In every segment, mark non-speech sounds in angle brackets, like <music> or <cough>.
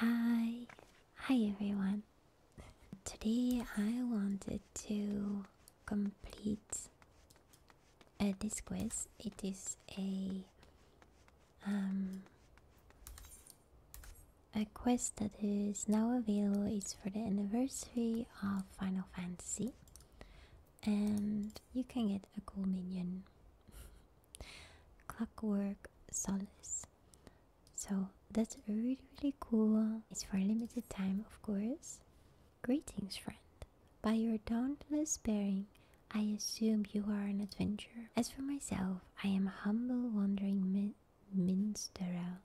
Hi, hi everyone. Today I wanted to complete uh, this quiz. It is a um, a quest that is now available. It's for the anniversary of Final Fantasy, and you can get a cool minion. <laughs> Clockwork Solace. So that's really really cool. It's for a limited time, of course. Greetings, friend. By your dauntless bearing, I assume you are an adventurer. As for myself, I am humble wandering minstrel,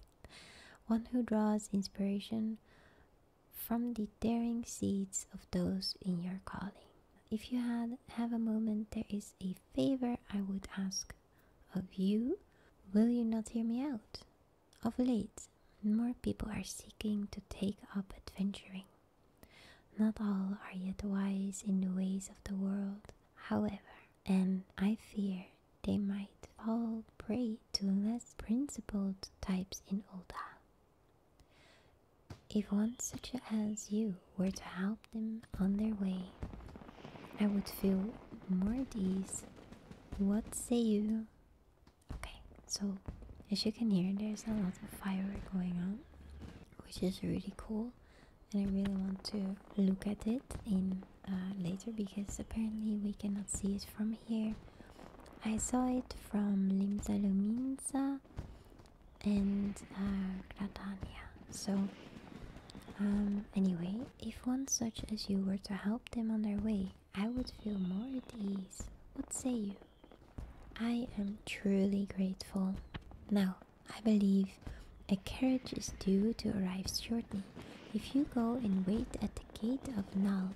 <laughs> one who draws inspiration from the daring seeds of those in your calling. If you had have a moment, there is a favor I would ask of you. Will you not hear me out? Of late, more people are seeking to take up adventuring. Not all are yet wise in the ways of the world, however, and I fear they might fall prey to less principled types in Olda. If one such as you were to help them on their way, I would feel more at ease. What say you? Okay, so as you can hear, there's a lot of firework going on, which is really cool, and I really want to look at it in uh, later because apparently we cannot see it from here. I saw it from Limsa Luminsa and uh, So, um, anyway, if one such as you were to help them on their way, I would feel more at ease. What say you? I am truly grateful. Now, I believe a carriage is due to arrive shortly. If you go and wait at the gate of Nalp,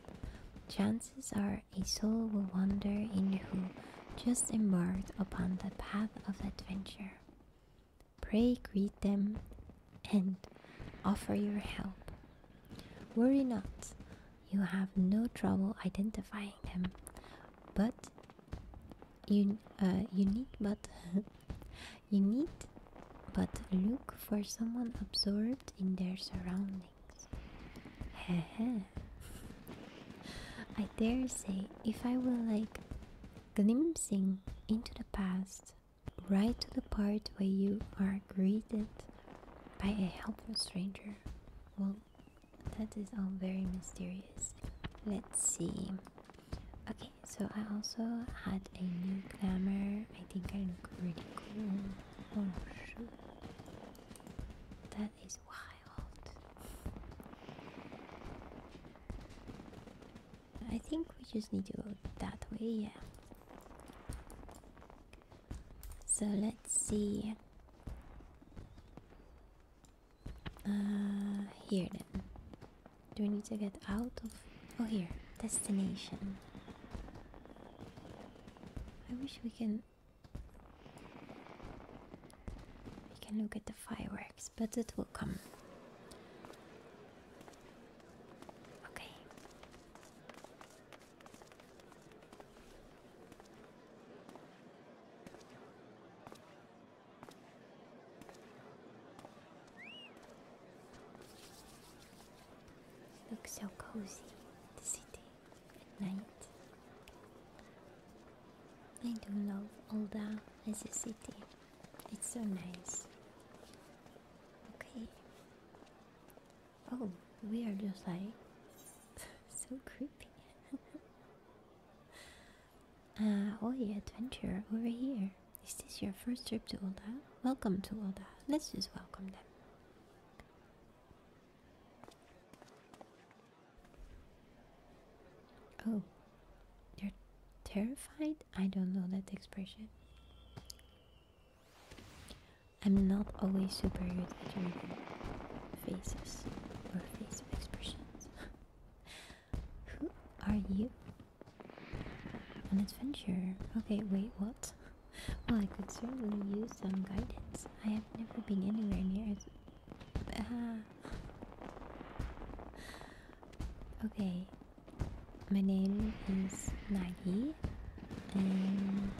chances are a soul will wander in who just embarked upon the path of adventure. Pray greet them and offer your help. Worry not, you have no trouble identifying them, but you, uh, you need but <laughs> you need but look for someone absorbed in their surroundings. I dare say if I were like glimpsing into the past, right to the part where you are greeted by a helpful stranger. Well, that is all very mysterious. Let's see. Okay, so I also had a new glamour. I think I look really cool. Oh shoot. That that is wild. I think we just need to go that way, yeah. So let's see. Uh, here then. Do we need to get out of. Oh, here. Destination. I wish we can we can look at the fireworks, but it will come. Okay. Looks so cozy, the city night. I do love Olda as a city. It's so nice. Okay. Oh, we are just like <laughs> so creepy. <laughs> Uh, oh, Oi Adventure over here. Is this your first trip to Olda? Welcome to Olda. Let's just welcome them. Oh, you're terrified? I don't know that expression. I'm not always super good at reading faces or face expressions. <laughs> Who are you? An adventurer. Okay, wait, what? <laughs> Well, I could certainly use some guidance. I have never been anywhere near as uh, okay, my name is Maggie, and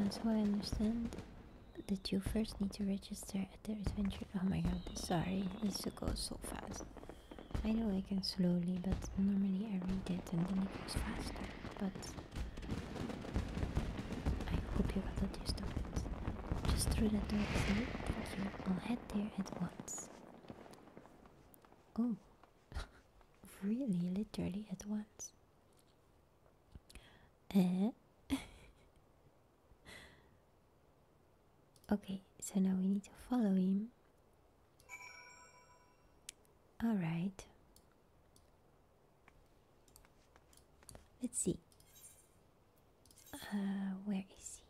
uh, so I understand that you first need to register at the adventure. Oh my god, sorry, this go so fast. I know I can slowly, but normally I read it and then it goes faster. But I hope you got understood it. Just through the door here, thank you. I'll head there at once. Oh, <laughs> really? Literally at once? Eh? <laughs> okay, so now we need to follow him. Alright. Let's see. Uh, where is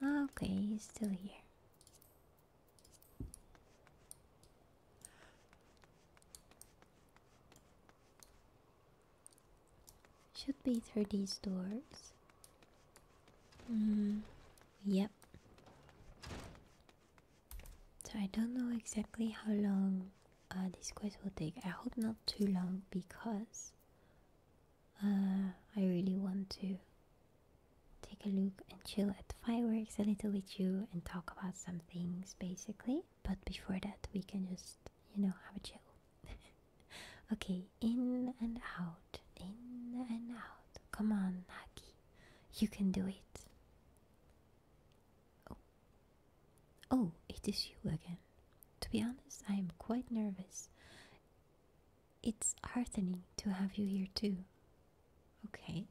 he? Okay, he's still here. Should be through these doors. Mm-hmm. yep. So I don't know exactly how long uh, this quest will take. I hope not too long because uh, I really want to take a look and chill at fireworks a little with you and talk about some things basically. But before that, we can just, you know, have a chill. <laughs> okay, in and out, in and out. Come on, Naki. You can do it. Oh. Oh, it is you again. To be honest, I am quite nervous. It's heartening to have you here too. Okay.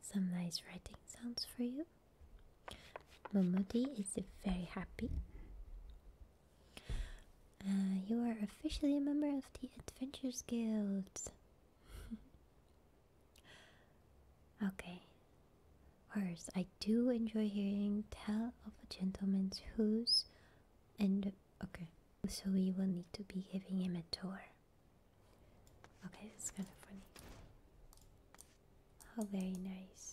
Some nice writing sounds for you. Momodi is very happy. Uh, you are officially a member of the Adventures Guild. <laughs> okay. First, I do enjoy hearing tell of a gentleman's who's and okay. So we will need to be giving him a tour. Okay, that's kind of funny. oh, very nice.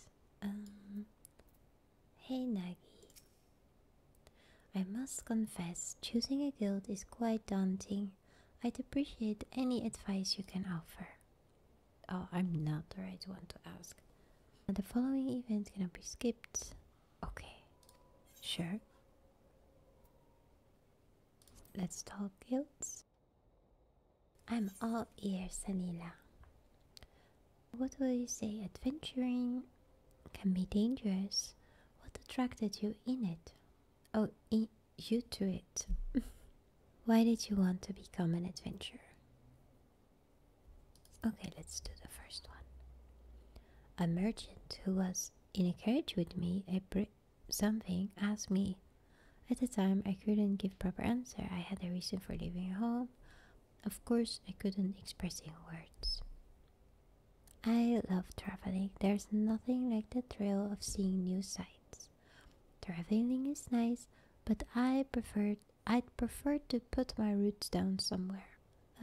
Um, hey Nagi, I must confess, choosing a guild is quite daunting. I'd appreciate any advice you can offer. Oh, I'm not the right one to ask. The following event gonna be skipped. Okay, sure. Let's talk guilds. I'm all ears, Anila. What will you say, adventuring can be dangerous, what attracted you in it? Oh, you to it. <laughs> Why did you want to become an adventurer? Okay, let's do the first one. A merchant who was in a carriage with me, a bri- something asked me. At the time, I couldn't give proper answer. I had a reason for leaving home. Of course, I couldn't express in words. I love traveling. There's nothing like the thrill of seeing new sights. Traveling is nice, but I prefer I'd prefer to put my roots down somewhere.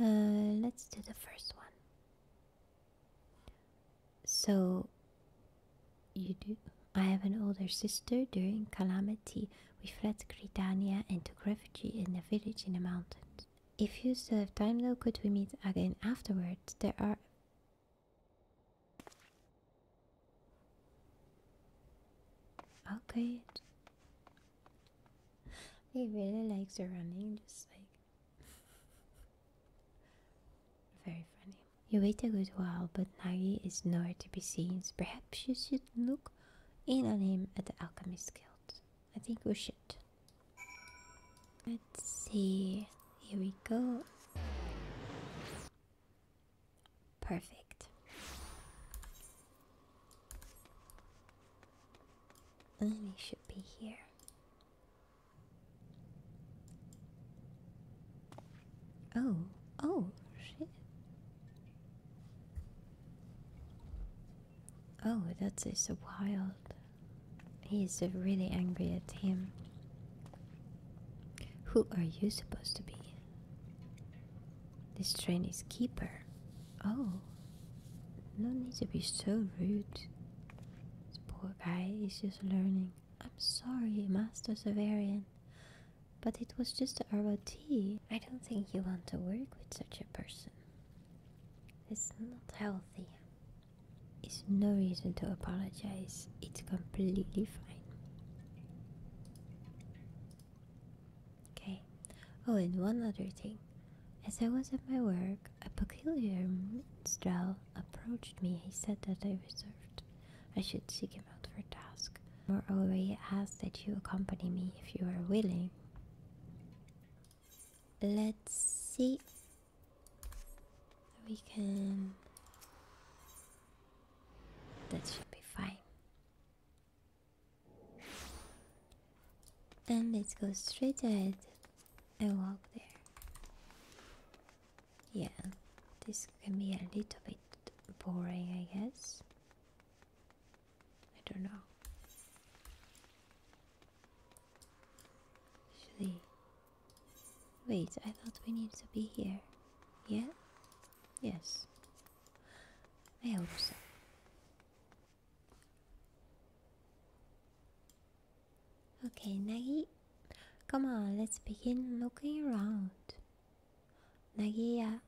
Uh, let's do the first one. So, you do. I have an older sister. During calamity, we fled Gridania and took refuge in a village in the mountains. If you still have time though, could we meet again afterwards? There are... Okay. He really likes the running, just like... <laughs> Very funny. You wait a good while, but Nagi is nowhere to be seen. Perhaps you should look in on him at the alchemist's guild. I think we should. Let's see. Here we go. Perfect. And Lily should be here. Oh, oh, shit. Oh, that is so wild. He is really angry at him. Who are you supposed to be? This train is keeper. Oh, no need to be so rude. This poor guy is just learning. I'm sorry, Master Severian, but it was just the ROT. I don't think you want to work with such a person. It's not healthy. It's no reason to apologize. It's completely fine. Okay. Oh, and one other thing. As I was at my work, a peculiar minstrel approached me. He said that I reserved. I should seek him out for a task. Moreover, he asked that you accompany me if you are willing let's see we can that should be fine and let's go straight ahead and walk there yeah this can be a little bit boring i guess I don't know. Actually, wait, I thought we need to be here. Yeah? Yes. I hope so. Okay, Nagi, come on, let's begin looking around. Nagi yuck,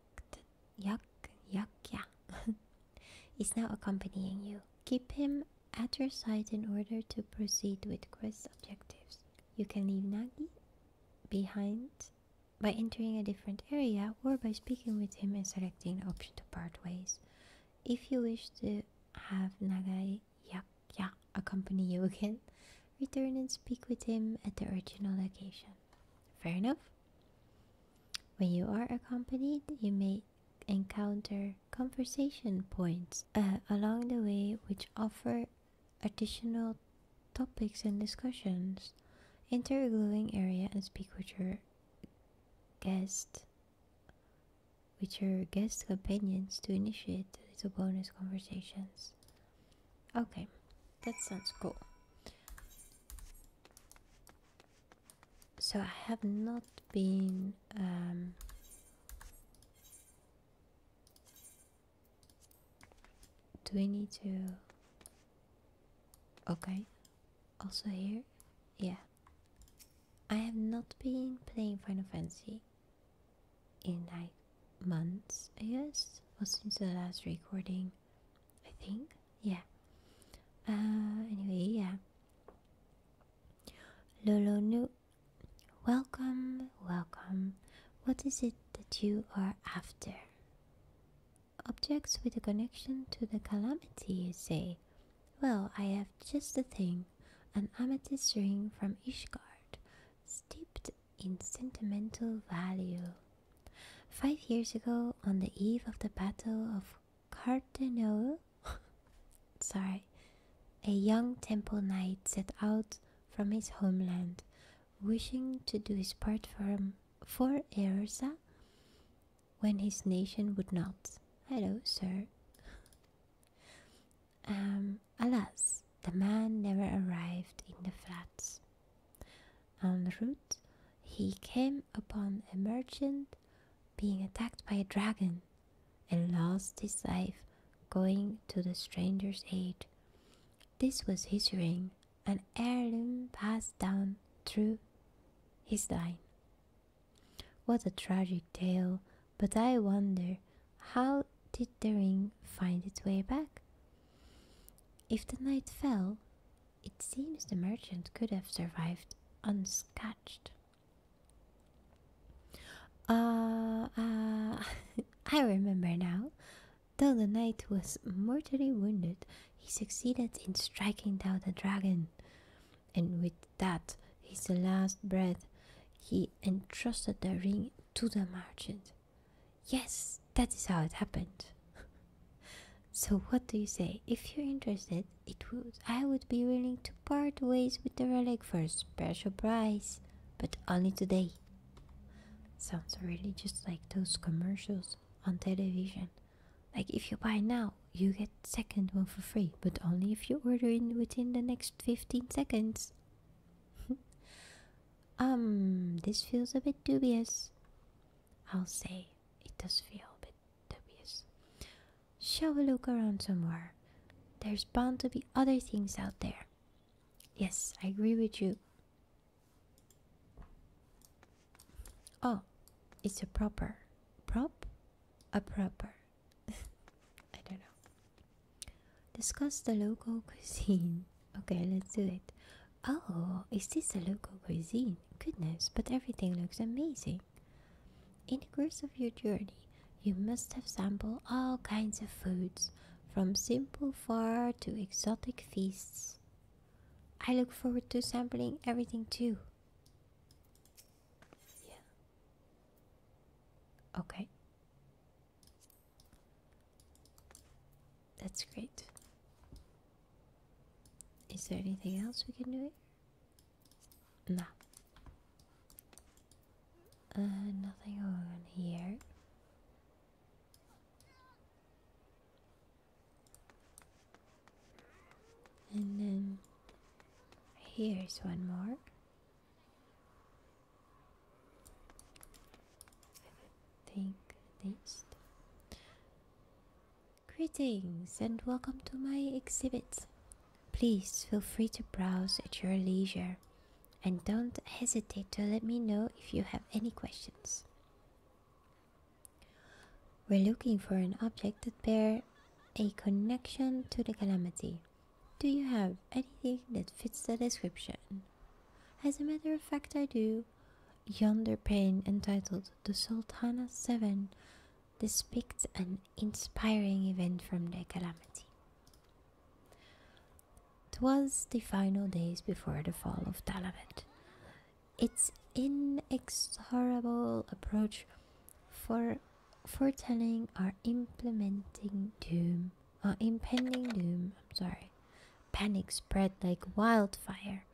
yuck, yuck, yeah. <laughs> is now accompanying you. Keep him at your side in order to proceed with quest objectives. You can leave Nagi behind by entering a different area or by speaking with him and selecting the option to part ways. If you wish to have Nagai Yakya accompany you <laughs> again, return and speak with him at the original location. Fair enough? When you are accompanied, you may encounter conversation points uh, along the way which offer additional topics and discussions. Enter a glowing area and speak with your guest with your guest companions to initiate little bonus conversations. Okay, that sounds cool so I have not been um, do we need to okay also here yeah I have not been playing Final Fantasy in like months I guess well since the last recording I think. Yeah. Uh, anyway, yeah. Lolo New. Welcome, welcome. What is it that you are after? Objects with a connection to the calamity, you say? Well, I have just a thing an amethyst ring from Ishgard, steeped in sentimental value. Five years ago, on the eve of the Battle of Cardinal, <laughs> sorry, a young temple knight set out from his homeland, wishing to do his part for, for Erza when his nation would not. Hello, sir. <laughs> Um, alas, the man never arrived in the flats. En route, he came upon a merchant being attacked by a dragon and lost his life going to the stranger's aid. This was his ring, an heirloom passed down through his line. What a tragic tale, but I wonder how did the ring find its way back? If the knight fell, it seems the merchant could have survived unscathed. Ah, ah! <laughs> I remember now. Though the knight was mortally wounded, he succeeded in striking down the dragon, and with that, his last breath, he entrusted the ring to the merchant. Yes, that is how it happened. <laughs> So what do you say? If you're interested, it would I would be willing to part ways with the relic for a special price, but only today. Sounds really just like those commercials on television. Like if you buy now, you get second one for free, but only if you order in within the next 15 seconds. <laughs> um, this feels a bit dubious. I'll say it does feel a bit Tobias. Shall we look around somewhere? There's bound to be other things out there. Yes, I agree with you. Oh, it's a proper. Prop? A proper. <laughs> I don't know. Discuss the local <laughs> cuisine. Okay, let's do it. Oh, is this a local cuisine? Goodness, but everything looks amazing. In the course of your journey, you must have sampled all kinds of foods, from simple fare to exotic feasts. I look forward to sampling everything too. Yeah. Okay. That's great. Is there anything else we can do here? Uh, nothing on here. And then here's one more. I think at Greetings and welcome to my exhibit. Please feel free to browse at your leisure and don't hesitate to let me know if you have any questions. We're looking for an object that bears a connection to the calamity. Do you have anything that fits the description? As a matter of fact, I do. Yonder pane entitled the Sultana 7 depicts an inspiring event from the calamity. Twas the final days before the fall of Talavet. Its inexorable approach for foretelling or implementing doom or uh, impending doom, I'm sorry. Panic spread like wildfire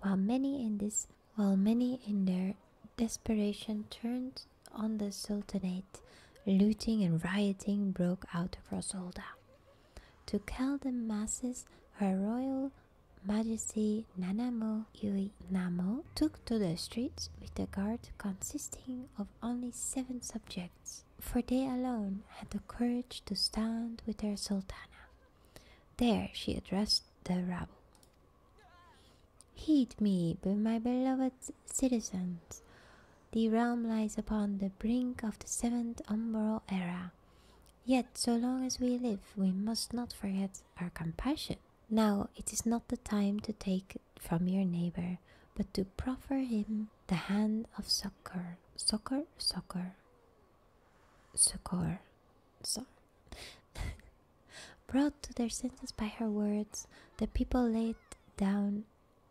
while many in this while many in their desperation turned on the Sultanate, looting and rioting broke out across Rosolda. To calm the masses, her royal majesty Nanamo Yui Nanamo took to the streets with a guard consisting of only seven subjects, for they alone had the courage to stand with their sultana. There she addressed the rabble. Heed me, my beloved citizens. The realm lies upon the brink of the seventh umbral era. Yet, so long as we live, we must not forget our compassion. Now, it is not the time to take from your neighbor, but to proffer him the hand of succor. Succor? Succor. Succor. So, <laughs> Brought to their senses by her words, the people laid down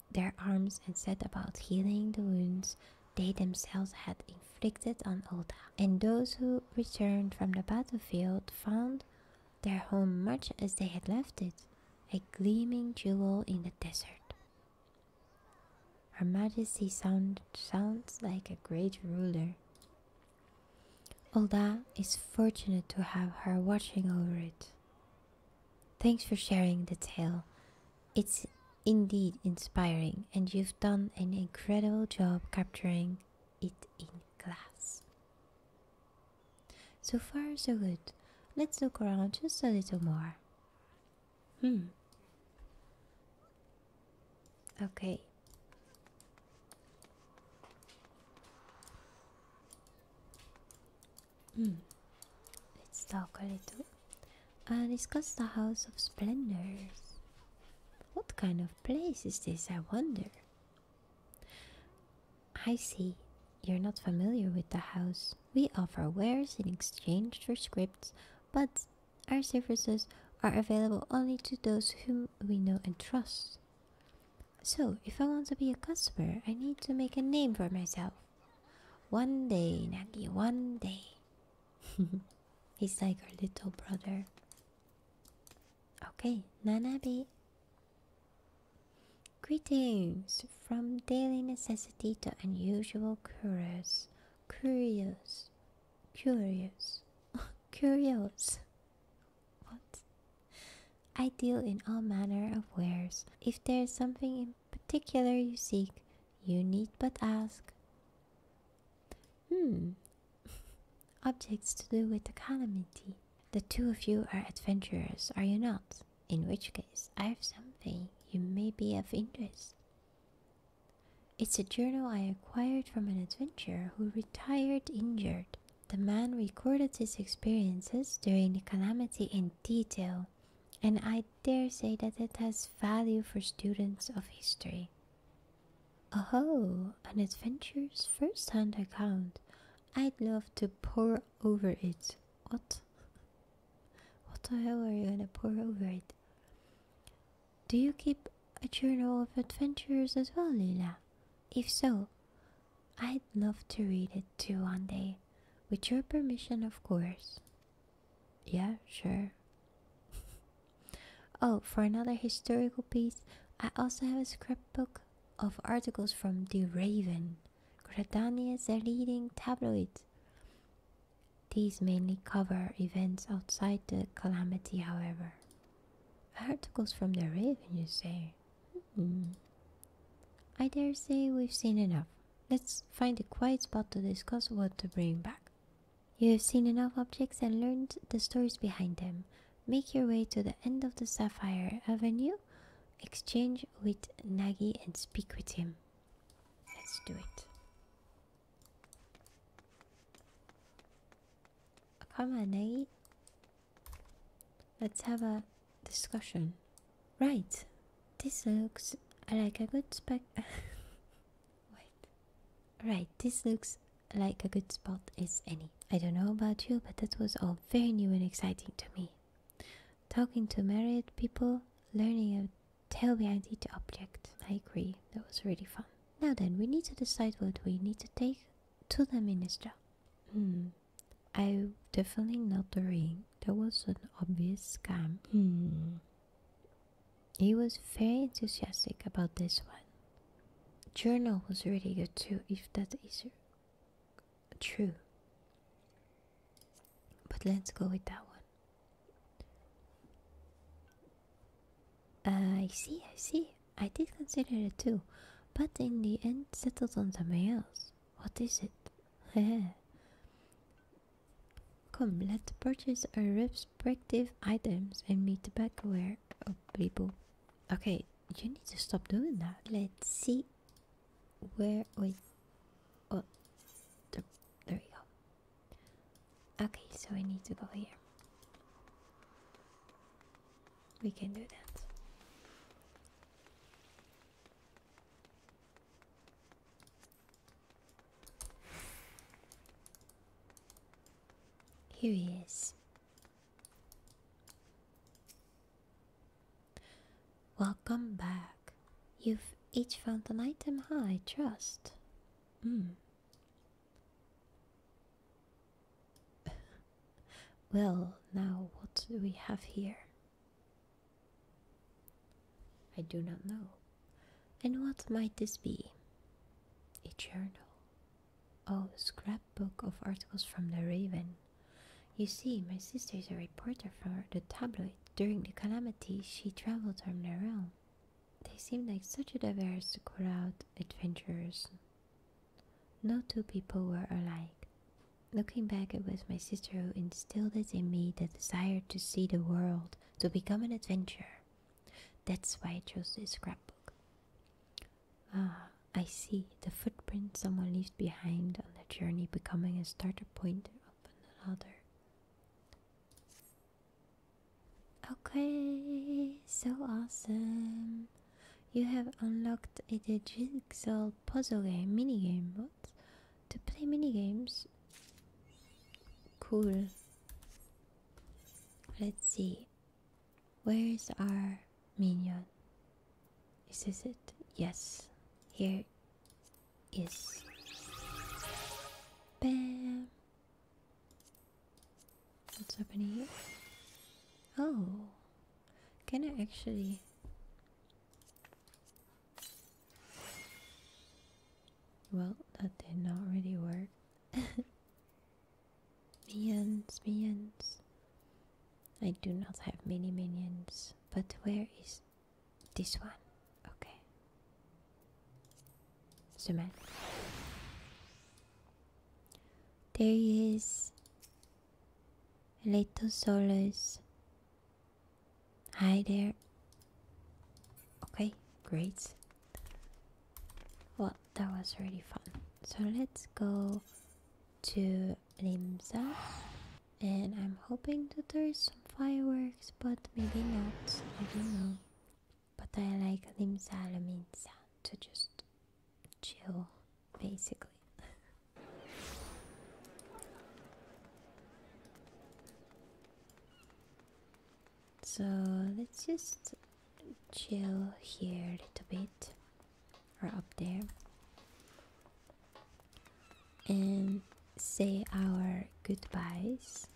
their arms and set about healing the wounds they themselves had inflicted on Olda. And those who returned from the battlefield found their home much as they had left it, a gleaming jewel in the desert. Her Majesty sounds like a great ruler. Olda is fortunate to have her watching over it. Thanks for sharing the tale. It's indeed inspiring, and you've done an incredible job capturing it in glass. So far, so good. Let's look around just a little more. Hmm. Okay. Hmm. Let's talk a little. Uh, discuss the House of Splendors. What kind of place is this, I wonder? I see. You're not familiar with the house. We offer wares in exchange for scripts, but our services are available only to those whom we know and trust. So, if I want to be a customer, I need to make a name for myself. One day, Nagi, one day. <laughs> He's like our little brother. Okay, Nanabi. Greetings from daily necessity to unusual curious. Curious. Curious. <laughs> Curious. What? I deal in all manner of wares. If there is something in particular you seek, you need but ask. Hmm. <laughs> Objects to do with the calamity. The two of you are adventurers, are you not? In which case, I have something you may be of interest. It's a journal I acquired from an adventurer who retired injured. The man recorded his experiences during the calamity in detail, and I dare say that it has value for students of history. Oh, an adventurer's first hand account. I'd love to pore over it. What? <laughs> What the hell are you gonna pour over it? Do you keep a journal of adventures as well, Lila? If so, I'd love to read it too one day, with your permission, of course. Yeah, sure. <laughs> oh, for another historical piece, I also have a scrapbook of articles from The Raven, Gradania's leading tabloid. These mainly cover events outside the calamity, however. Articles from the Raven, you say? Hmm. I dare say we've seen enough. Let's find a quiet spot to discuss what to bring back. You have seen enough objects and learned the stories behind them. Make your way to the end of the Sapphire Avenue, exchange with Nagi, and speak with him. Let's do it. Come on, Nate. Let's have a discussion. Right. This looks like a good spot. <laughs> Wait. Right. This looks like a good spot as any. I don't know about you, but that was all very new and exciting to me. Talking to married people, learning Tell me I need object. I agree, that was really fun. Now then, we need to decide what we need to take to the minister. Hmm, I definitely not the ring. That was an obvious scam. Hmm. He was very enthusiastic about this one. Journal was really good too, if that is true but let's go with that one. I see, I see. I did consider it too, but in the end settled on something else. What is it? <laughs> Come, let's purchase our respective items and meet the backware of people. Okay, you need to stop doing that. Let's see where we... Oh, there we go. Okay, so I need to go here. We can do that. Here he is. Welcome back. You've each found an item high trust. Mm. <laughs> well, now what do we have here? I do not know. And what might this be? A journal. Oh, scrapbook of articles from the Raven. You see, my sister is a reporter for the tabloid. During the calamity, she traveled around they seemed like such a diverse crowd adventurers. No two people were alike. Looking back, it was my sister who instilled in me the desire to see the world, to become an adventurer. That's why I chose this scrapbook. Ah, I see the footprint someone leaves behind on their journey becoming a starter point of another. Okay, so awesome. You have unlocked a jigsaw puzzle game mini game. What? To play mini games? Cool. Let's see. Where's our minion? Is this it? Yes. Here is bam? What's happening here? Oh, can I actually? Well, that did not really work. <laughs> minions, minions. I do not have many minions. But where is this one, okay. Semaine. There is little solace. Hi there. Okay, great. Well, that was really fun. So let's go to Limsa. And I'm hoping that there's some fireworks, but maybe not. I don't know. But I like limsa to just chill, basically. so let's just chill here a little bit, or up there and say our goodbyes.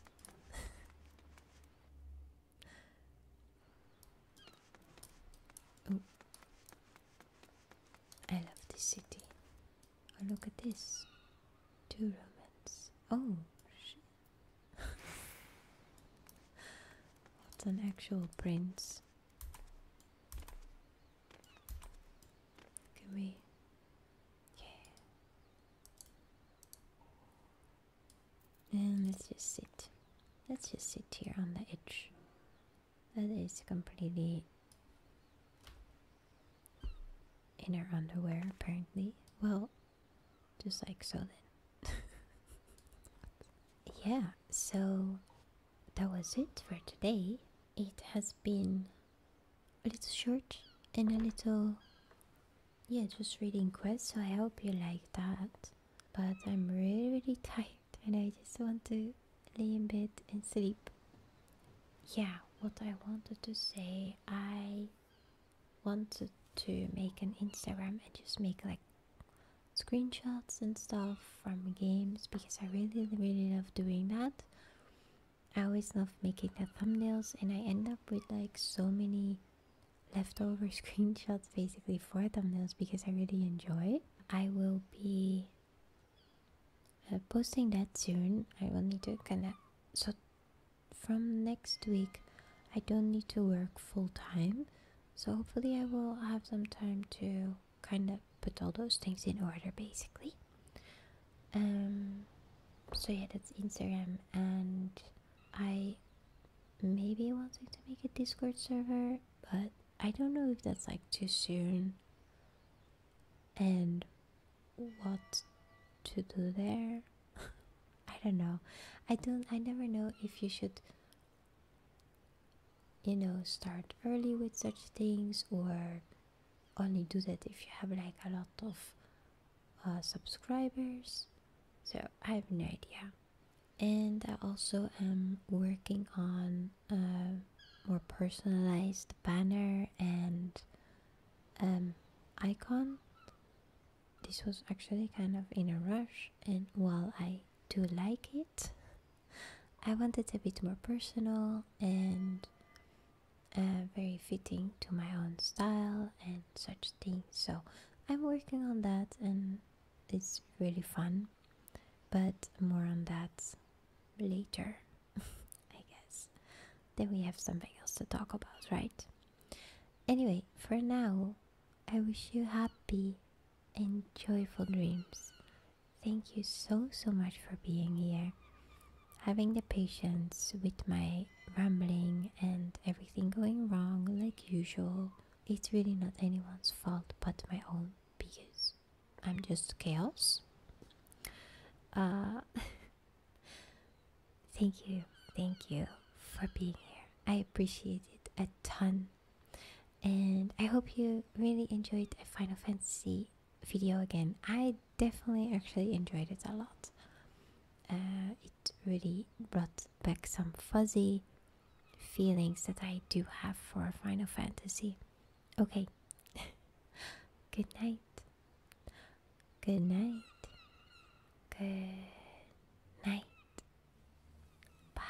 oh, I love this city. Oh, look at this. Two Romans. Oh, shit. <laughs> What's an actual prince? Can we Okay, And let's just sit. Let's just sit here on the edge. That is completely inner underwear, apparently. Well, just like so then. <laughs> yeah, so that was it for today. It has been a little short and a little yeah just reading quest so i hope you like that but i'm really really <laughs> tired and i just want to lay in bed and sleep yeah what i wanted to say i wanted to make an instagram and just make like screenshots and stuff from games because i really really love doing that I always love making the thumbnails and I end up with like so many leftover <laughs> screenshots basically for thumbnails because I really enjoy it. I will be uh, posting that soon. I will need to kind of so from next week I don't need to work full time. So hopefully I will have some time to kind of put all those things in order basically. Um, so yeah, that's Instagram, and I maybe wanting to make a Discord server, but I don't know if that's like too soon, and what to do there. <laughs> I don't know. I don't. I never know if you should you know start early with such things or only do that if you have like a lot of uh, subscribers so i have no idea and i also am working on a more personalized banner and um, icon this was actually kind of in a rush and while i do like it <laughs> i want it a bit more personal and uh, very fitting to my own style and such things. So I'm working on that and it's really fun. But more on that later, <laughs> I guess. Then we have something else to talk about, right? Anyway, for now, I wish you happy and joyful dreams Thank you so, so much for being here, having the patience with my rambling and everything going wrong like usual. It's really not anyone's fault but my own because I'm just chaos. Uh, <laughs> thank you, thank you for being here. I appreciate it a ton. And I hope you really enjoyed Final Fantasy video again. I definitely actually enjoyed it a lot. Uh, it really brought back some fuzzy feelings that I do have for Final Fantasy. Okay. <laughs> Good night. Good night. Good night. Bye.